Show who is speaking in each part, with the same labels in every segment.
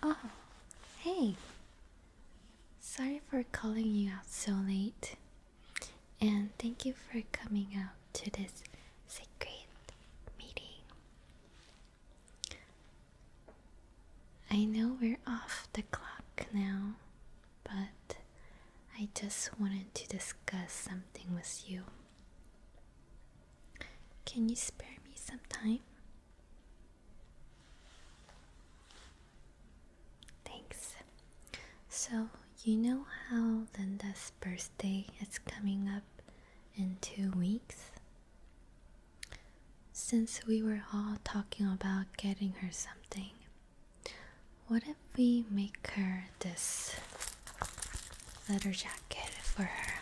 Speaker 1: Oh, hey. Sorry for calling you out so late. And thank you for coming out to this secret meeting. I know we're off the clock now, but I just wanted to discuss something with you. Can you spare me some time? Thanks. So, you know how Linda's birthday is coming up in two weeks? Since we were all talking about getting her something, what if we make her this leather jacket for her?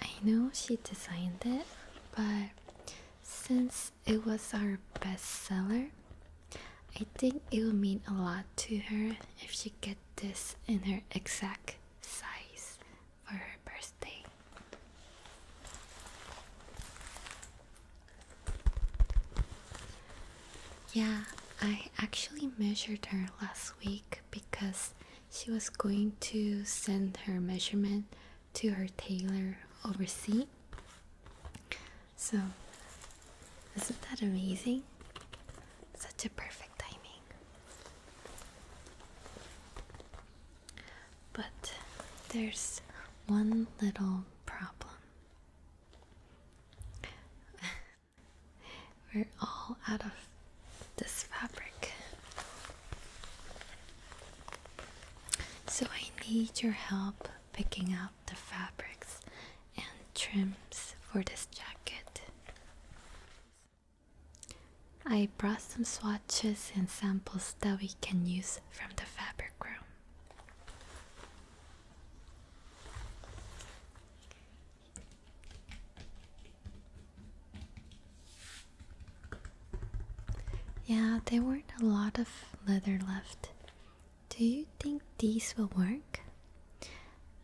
Speaker 1: I know she designed it, but since it was our bestseller, I think it will mean a lot to her if she get this in her exact size for her birthday. Yeah, I actually measured her last week because she was going to send her measurement to her tailor overseas. So, isn't that amazing? Such a perfect timing. But there's one little problem. We're all out of this fabric. So I need your help picking out the fabrics and trims for this jacket. I brought some swatches and samples that we can use from the fabric room. Yeah, there weren't a lot of leather left. Do you think these will work?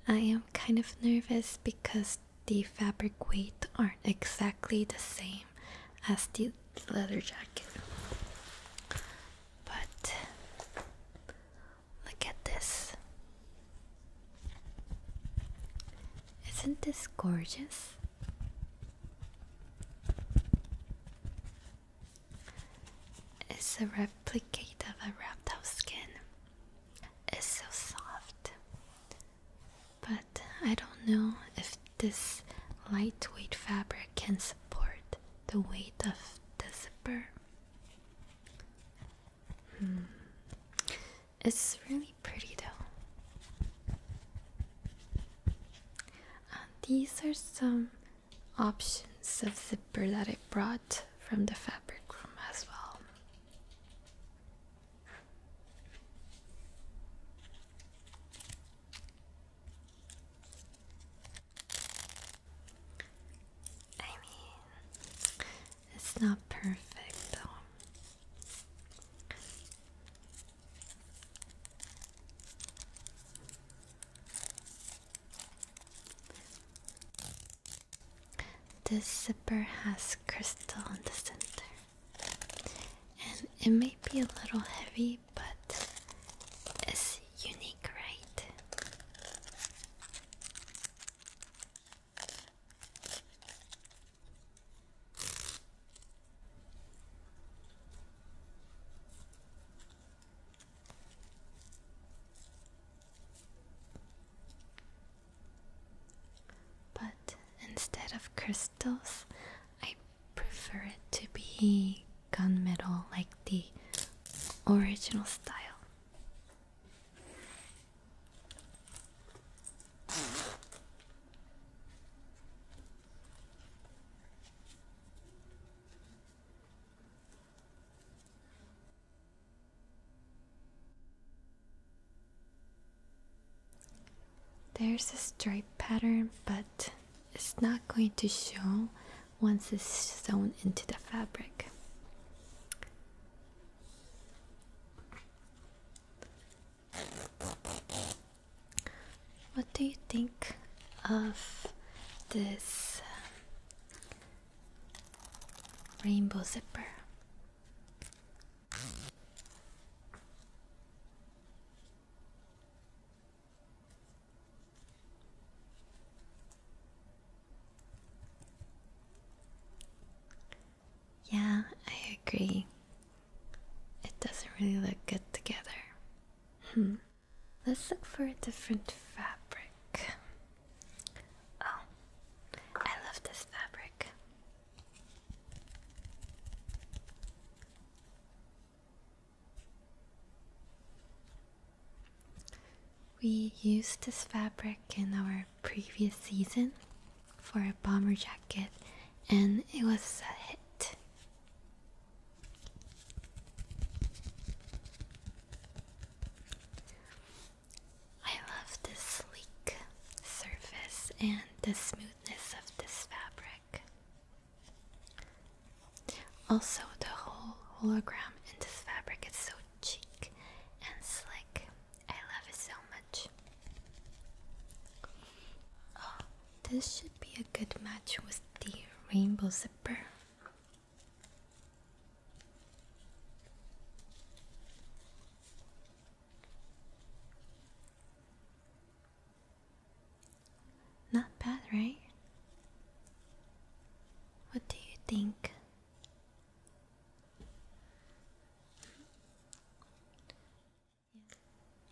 Speaker 1: I am kind of nervous because the fabric weight aren't exactly the same same as the leather jacket. But look at this. Isn't this gorgeous? It's a replicate of a reptile skin. It's so soft but I don't know if this lightweight fabric can support the weight of the zipper. Hmm. It's really pretty though. Uh, these are some options of zipper that I brought from the fabric room as well. I mean, it's not perfect though. This zipper has crystal in the center. And it may be a little heavy, but it's unique, right? But instead of crystals, I prefer it to be gunmetal, like the original style. There's a stripe pattern, but it's not going to show once it's sewn into the fabric. What do you think of this um, rainbow zipper? Yeah, I agree. It doesn't really look good together. Hmm. Let's look for a different fabric. Oh, I love this fabric. We used this fabric in our previous season for a bomber jacket and it was a hit. I love the sleek surface and the smoothness of this fabric. Also, the whole hologram in this fabric is so cheek and slick. I love it so much. Oh, this should be a good match with the rainbow zipper. Not bad, right? What do you think?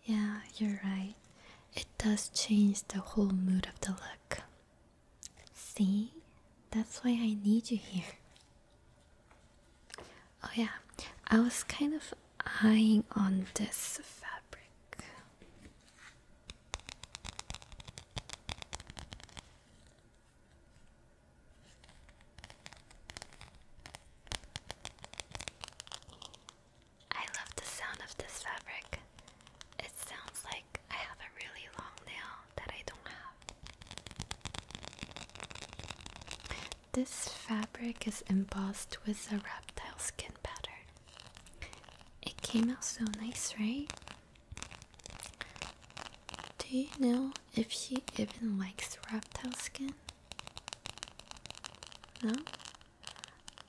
Speaker 1: Yeah, you're right. It does change the whole mood of the look. See? That's why I need you here. Oh, yeah, I was kind of eyeing on this fabric. I love the sound of this fabric. It sounds like I have a really long nail that I don't have. This fabric is embossed with a reptile skin pattern. It came out so nice, right? Do you know if she even likes reptile skin? No?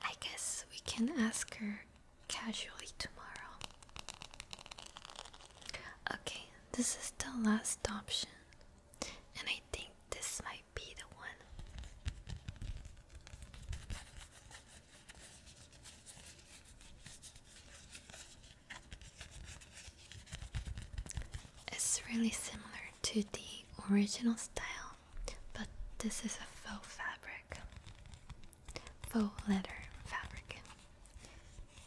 Speaker 1: I guess we can ask her casually tomorrow. Okay, this is the last option, and I think this might be the one. It's really similar to the original style, but this is a faux fabric, faux leather fabric.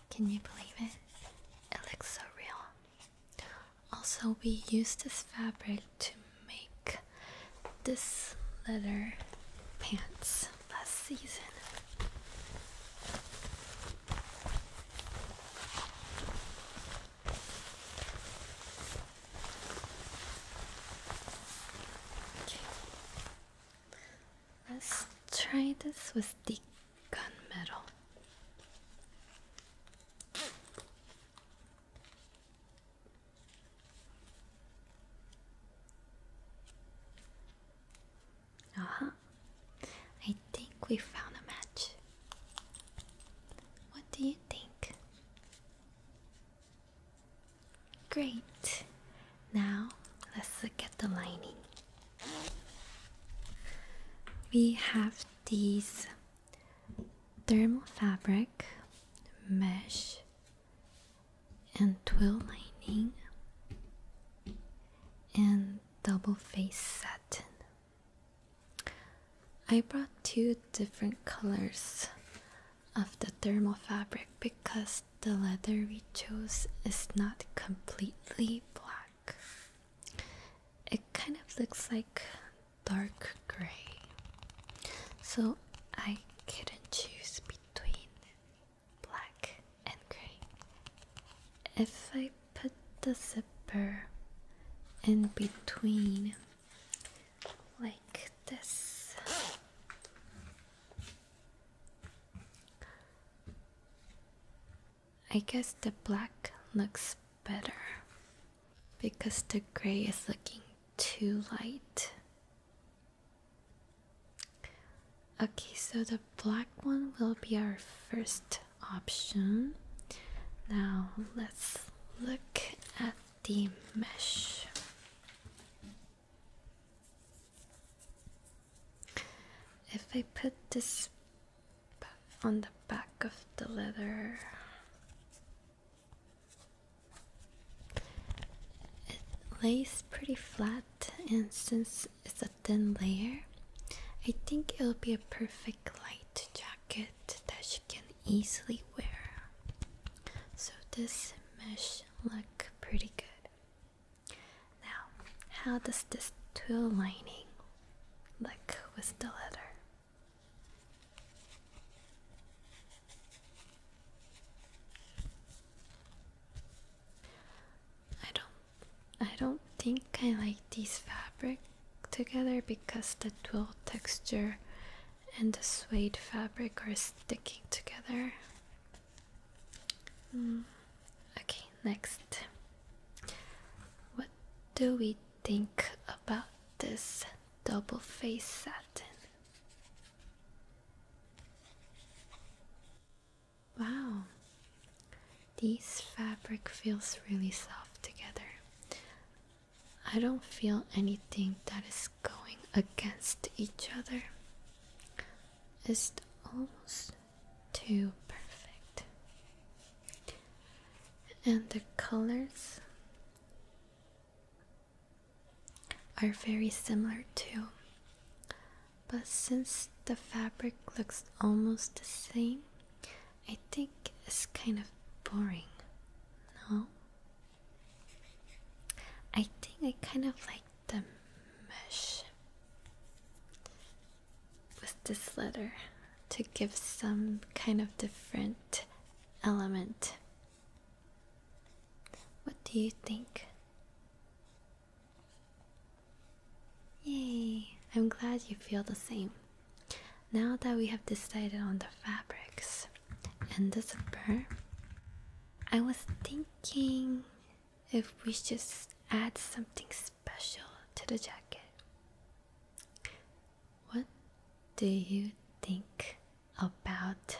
Speaker 1: Can you believe it? It looks so real. Also, we used this fabric to make this leather pants last season. Let's try this with the gunmetal. Uh I think we found a match. What do you think? Great. Now let's look at the lining. We have these thermal fabric, mesh, and twill lining, and double face satin. I brought two different colors of the thermal fabric because the leather we chose is not completely black. It kind of looks like dark gray. So I couldn't choose between black and gray. If I put the zipper in between like this I guess the black looks better because the gray is looking too light. Okay, so the black one will be our first option. Now let's look at the mesh. If I put this on the back of the letter, it lays pretty flat, and since it's a thin layer, I think it'll be a perfect light jacket that she can easily wear. So, this mesh look pretty good. Now, how does this twill lining look with the letter? I don't I don't think I like these fabric together because the twill texture and the suede fabric are sticking together. Hmm. Okay, next. What do we think about this double face satin? Wow, this fabric feels really soft together. I don't feel anything that is going against each other is almost too perfect. And the colors are very similar too. But since the fabric looks almost the same, I think it's kind of boring. No? I think I kind of like the mesh with this letter to give some kind of different element. What do you think? Yay! I'm glad you feel the same. Now that we have decided on the fabrics, and the zipper. I was thinking if we just add something special to the jacket. What do you think about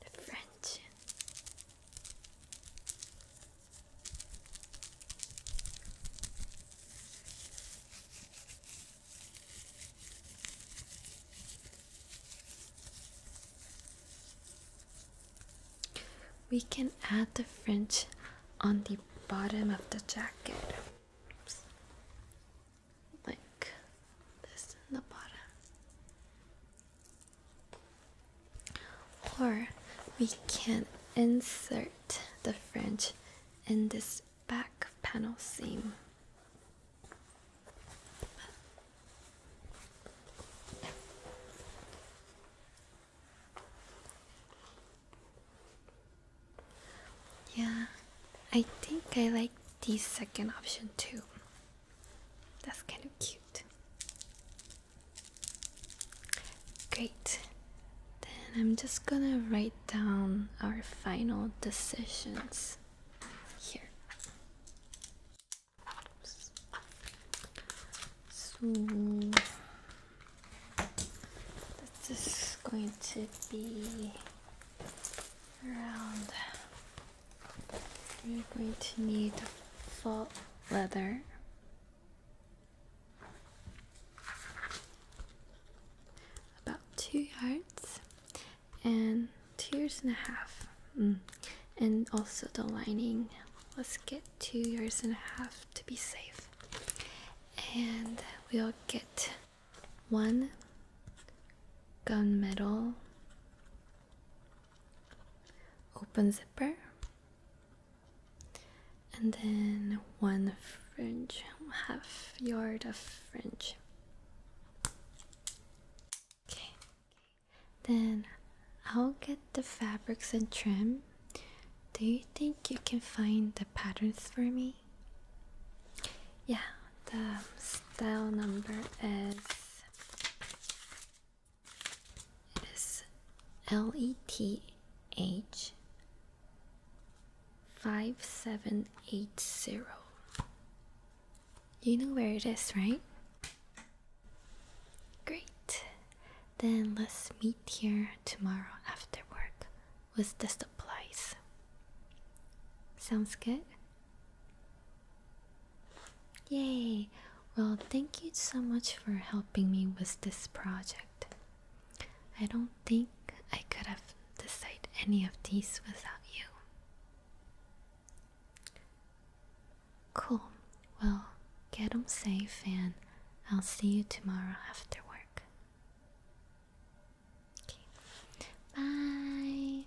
Speaker 1: the French? We can add the fringe on the bottom of the jacket. Like this in the bottom. Or we can insert the fringe in this back panel seam. Yeah, I think I like this second option too. That's kind of cute. Great. Then I'm just gonna write down our final decisions here. Oops. So this is going to be around. We're going to need felt leather about two yards and two yards and a half mm. and also the lining let's get two yards and a half to be safe and we'll get one gunmetal open zipper and then one fringe, half yard of fringe. Okay, then I'll get the fabrics and trim. Do you think you can find the patterns for me? Yeah, the style number is it is L E T H 5780. You know where it is, right? Great. Then let's meet here tomorrow after work with the supplies. Sounds good? Yay! Well, thank you so much for helping me with this project. I don't think I could have decided any of these without you. Cool. Well, get them safe and I'll see you tomorrow after work. Bye.